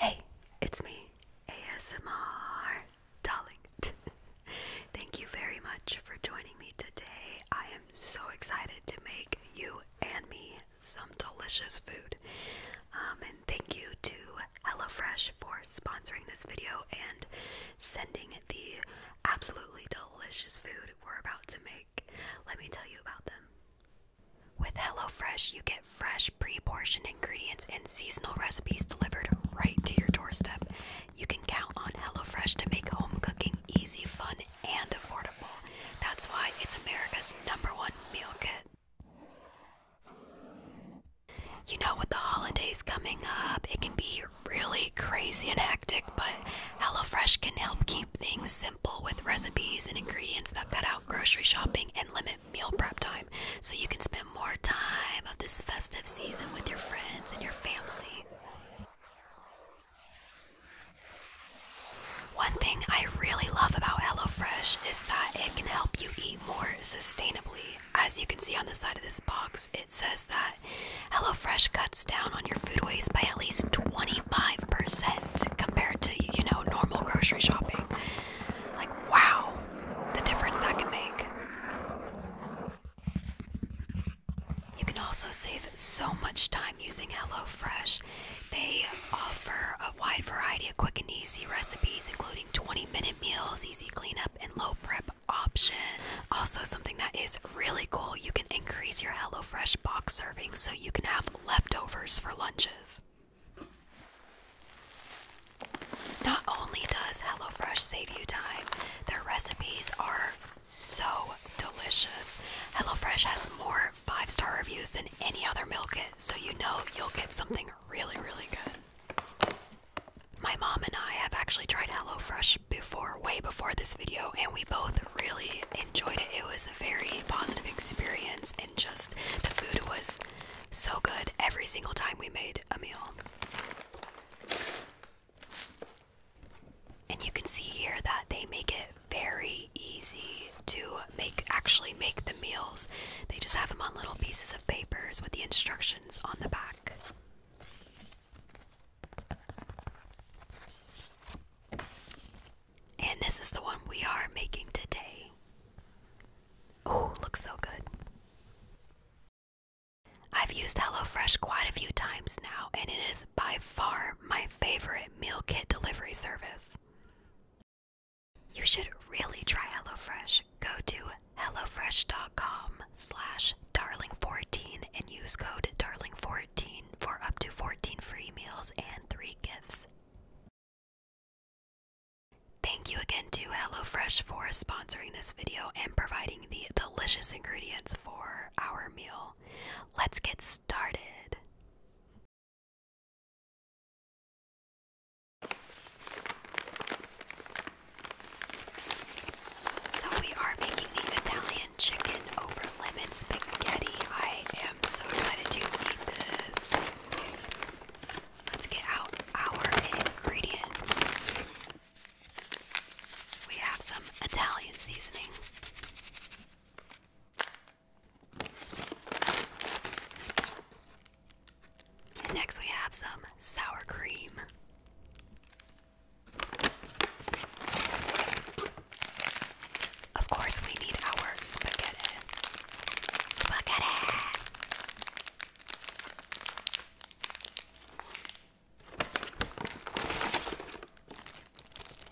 Hey, it's me, ASMR darling. Thank you very much for joining me today. I am so excited to make you and me some delicious food. Um, and thank you to HelloFresh for sponsoring this video and sending the absolutely delicious food we're about to make. Let me tell you about them. With HelloFresh, you get fresh, pre portioned ingredients and seasonal recipes delivered right to your doorstep. You can count on HelloFresh to make home cooking easy, fun, and affordable. That's why it's America's number one meal kit. You know, with the holidays coming up, it can be really crazy and hectic, but HelloFresh can help keep things simple with recipes and ingredients that cut out grocery shopping and limit meal prep time so you can spend more time of this festive season with your friends and your family. One thing I really love about HelloFresh is that it can help you eat more sustainably as you can see on the side of this box, it says that HelloFresh cuts down on your food waste by at least 25% compared to, you know, normal grocery shopping. Like, wow, the difference that can make. You can also save so much time using HelloFresh. They offer a wide variety of quick and easy recipes, including 20 minute meals, easy cleanup, and low prep option. Also, something that is really cool you can increase your HelloFresh box serving so you can have leftovers for lunches. Not only does HelloFresh save you time, their recipes are so delicious. HelloFresh has more five star reviews than any other meal kit, so you know you'll get something really, really good. My mom and I have actually tried HelloFresh before, way before this video, and we both really enjoyed it. It was a very positive experience, and just the food was so good every single time we made a meal. And you can see here that they make it very easy to make actually make the meals. They just have them on little pieces of papers with the instructions on the back. And this is the one we are making today. Oh, looks so good. I've used HelloFresh quite a few times now, and it is by far my favorite meal kit delivery service. You should really try HelloFresh. Go to hellofresh.com slash darling14 and use code darling14 for up to 14 free meals and 3 gifts. Thank you again to HelloFresh for sponsoring this video and providing the delicious ingredients for our meal. Let's get started. So we are making the Italian chicken over lemon spaghetti. I am so excited to eat this. Let's get out our ingredients. We have some Italian seasoning. And next, we have some sour cream. Of course, we need our spaghetti. Spaghetti!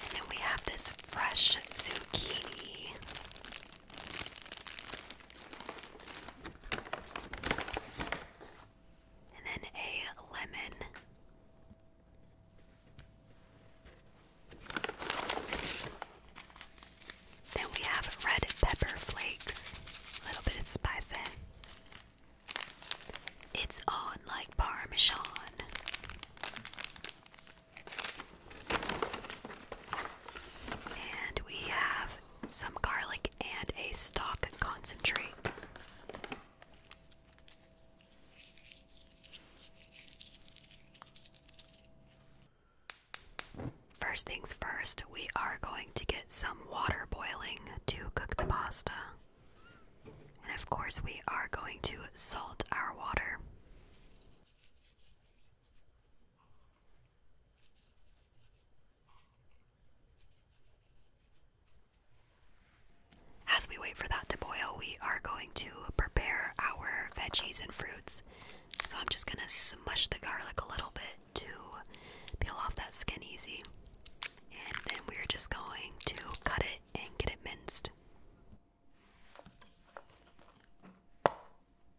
And then we have this fresh zucchini. And then a lemon. Then we have red pepper flakes, a little bit of spice in. It's on like parmesan. And we have some garlic and a stock concentrate. First things first, we are going to get some water boiling to cook the pasta. And of course, we are going to salt our water. As we wait for that to boil, we are going to prepare our veggies and fruits. So I'm just going to smush the garlic a little bit to peel off that skin easy. And then we're just going to cut it and get it minced.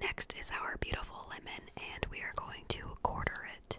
Next is our beautiful lemon, and we are going to quarter it.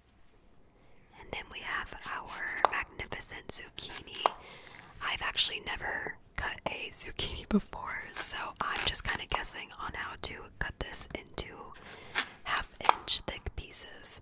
And then we have our magnificent zucchini. I've actually never cut a zucchini before, so I'm just kind of guessing on how to cut this into half inch thick pieces.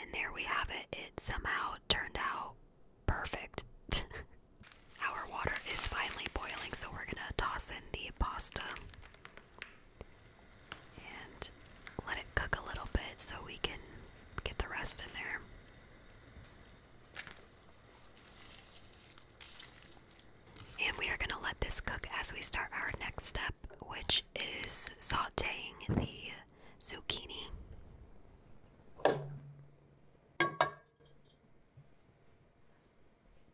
And there we have it. It somehow turned out perfect. Our water is finally boiling, so we're gonna toss in the pasta and let it cook a little bit so we can get the rest in there. And we are gonna let this cook as we start our next step, which is sauteing the zucchini.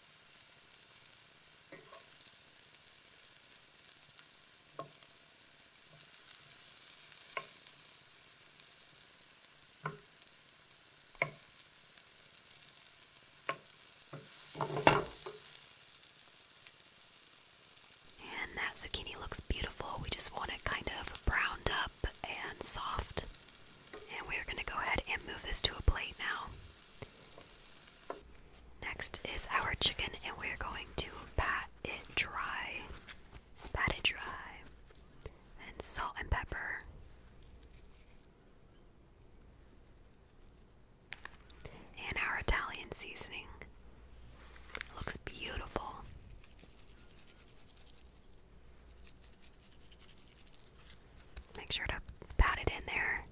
And that zucchini looks beautiful. We just want it kind of browned up and soft. And we're going to go ahead and move this to a plate now. Next is our chicken, and we're going to pat it dry. Pat it dry. And salt and pepper. And our Italian seasoning. looks beautiful. Make sure to pat it in there.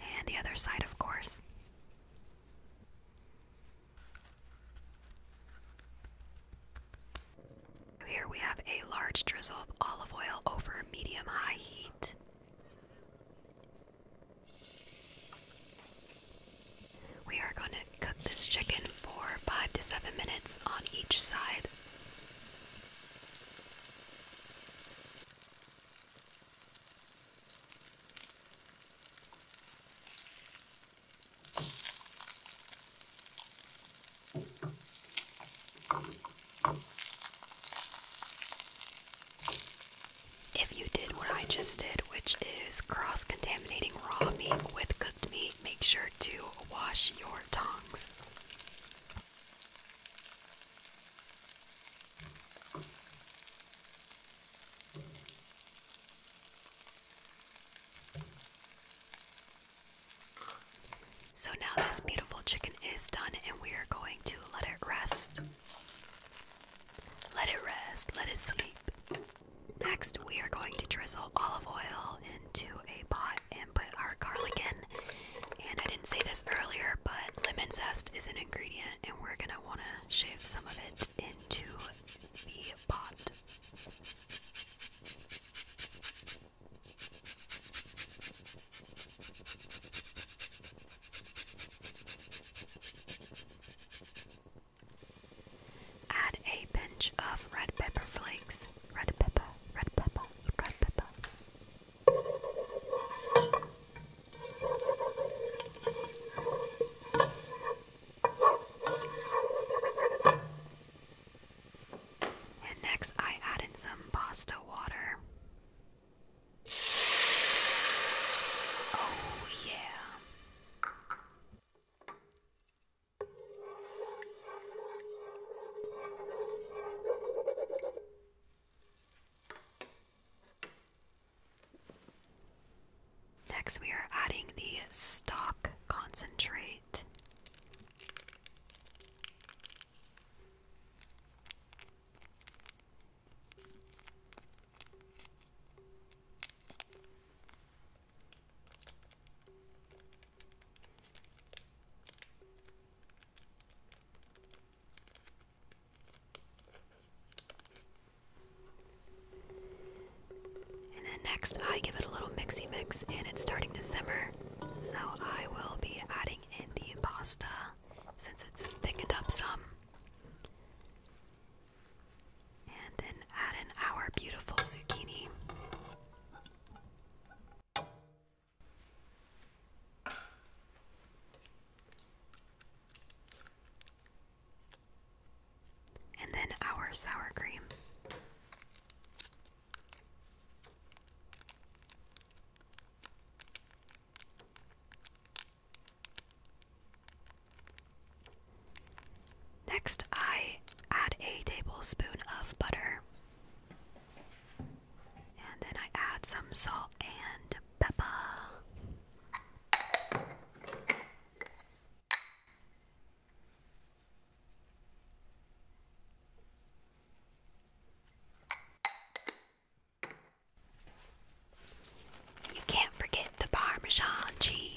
And the other side, of course. Here we have a large drizzle of olive oil over medium high heat. We are going to Cook this chicken for 5 to 7 minutes on each side. If you did what I just did, which is cross contaminating raw meat with cooked meat, make sure to wash your tongs. So now this beautiful chicken is done and we are going to let it rest. Let it rest, let it sleep. Next, we are going to drizzle olive oil into a pot and put our garlic in. And I didn't say this earlier, but lemon zest is an ingredient, and we're gonna wanna shave some of it into the pot. Add a pinch of red pepper flakes. Red pepper, red pepper, red pepper. And next, I add in some pasta water. Oh, yeah. Next, we are adding the stock concentrate. And then next, I give it a little mixy mix, and it's starting to simmer. So I will be adding in the pasta since it's thickened up some. And then add in our beautiful zucchini. And then our sour cream. Next, I add a tablespoon of butter. And then I add some salt and pepper. You can't forget the Parmesan cheese.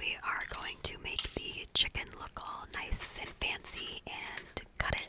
We are going to make the chicken look all nice and fancy and cut it.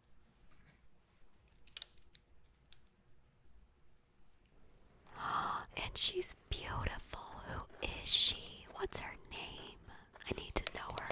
and she's beautiful. Who is she? What's her name? I need to know her.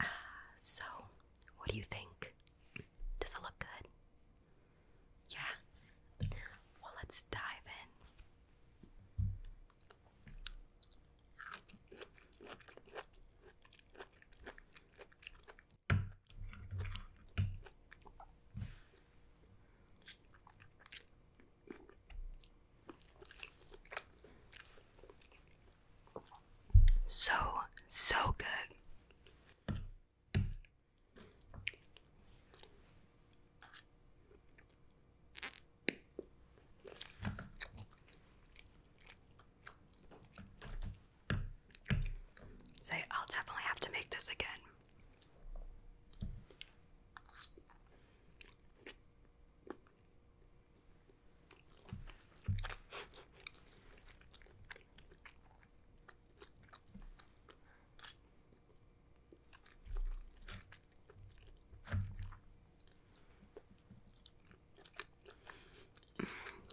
Ah, so, what do you think? Does it look good? Yeah? Well, let's dive in. So, so good. So, I'll definitely have to make this again.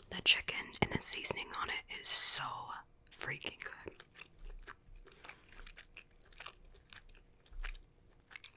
The chicken and the seasoning on it is so freaking good.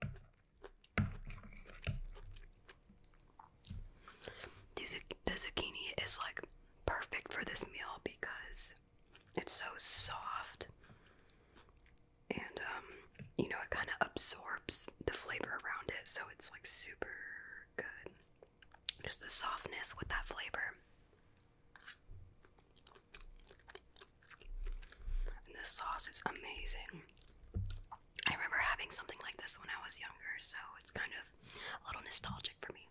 The, zucchini is like perfect for this meal because it's so soft and um, you know it kind of absorbs the flavor around it so it's like super good just the softness with that flavor and the sauce is amazing I remember having something like this when I was younger, so it's kind of a little nostalgic for me.